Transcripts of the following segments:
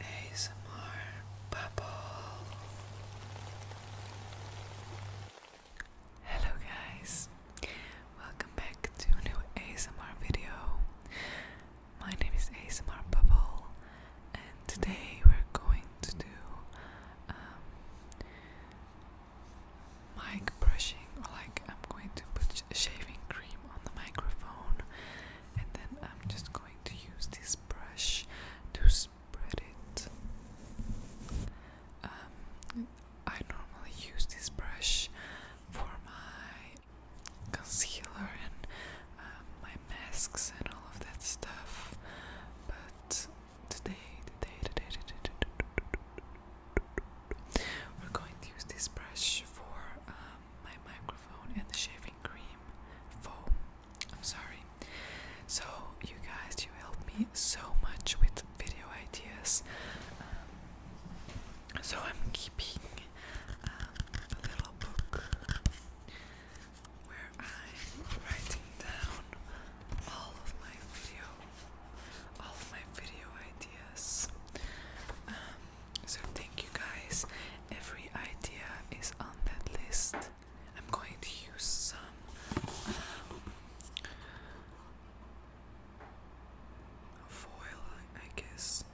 ASMR Bubble. Hello, guys, welcome back to a new ASMR video. My name is ASMR Bubble, and today we're going to do um, mic brushing, like I'm going to put shaving cream on the microphone, and then I'm just going to use this brush to spread it. I normally use this brush for my concealer and my masks and all of that stuff, but today, today, today, today, today, today, today, today, today we're going to use this brush for um, my microphone and the shaving cream foam. I'm sorry. So, you guys, you helped me so much with video ideas. Um, so, I'm keeping um, a little book where I'm writing down all of my video, all of my video ideas. Um, so thank you guys. Every idea is on that list. I'm going to use some um, foil, I guess.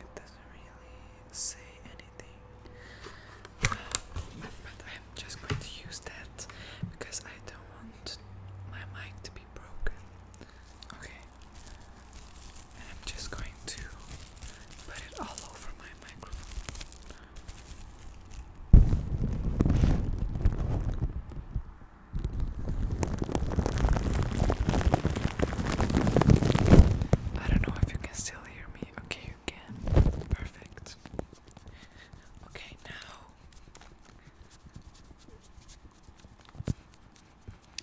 It doesn't really say anything. Um, but I'm just going to use that because I don't want my mic to be broken. Okay. And I'm just going to put it all over my microphone. I don't know if you can still hear me. Okay, you can. Perfect. Okay, now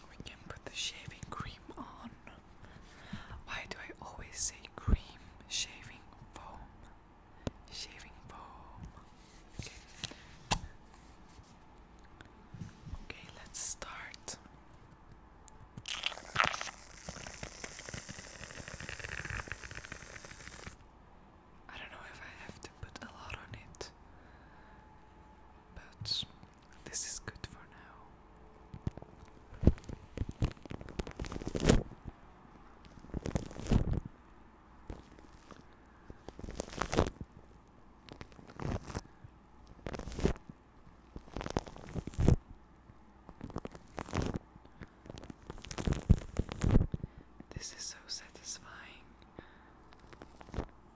we can put the shaving cream on. Why do I always say cream? Shaving foam. Shaving foam. Okay, let's start. I don't know if I have to put a lot on it but this is good for now. This is so satisfying.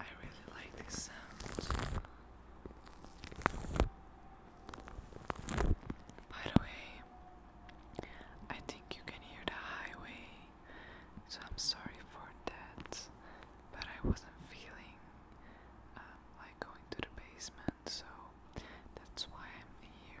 I really like this sound. By the way, I think you can hear the highway, so I'm sorry for that. But I wasn't feeling um, like going to the basement, so that's why I'm here.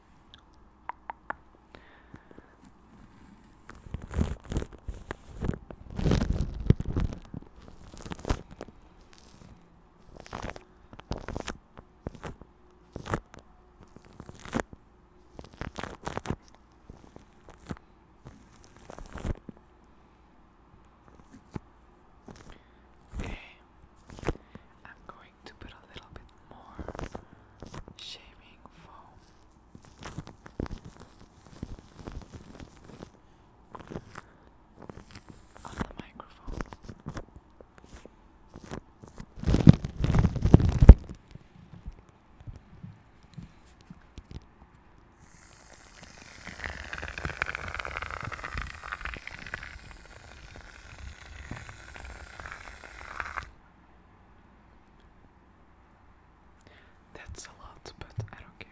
Okay. I'm going to put a little bit more shaving foam. On the microphone. That's a lot, but I don't care.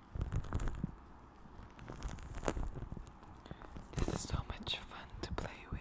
This is so much fun to play with.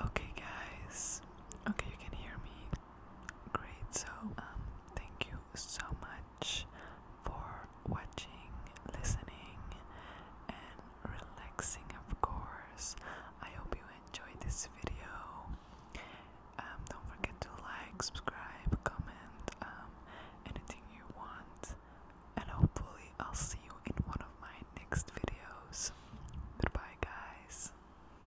Okay, guys. Okay, you can hear me. Great, so um, thank you so much for watching, listening, and relaxing, of course. I hope you enjoyed this video. Um, don't forget to like, subscribe, comment, um, anything you want, and hopefully, I'll see you in one of my next videos. Goodbye, guys.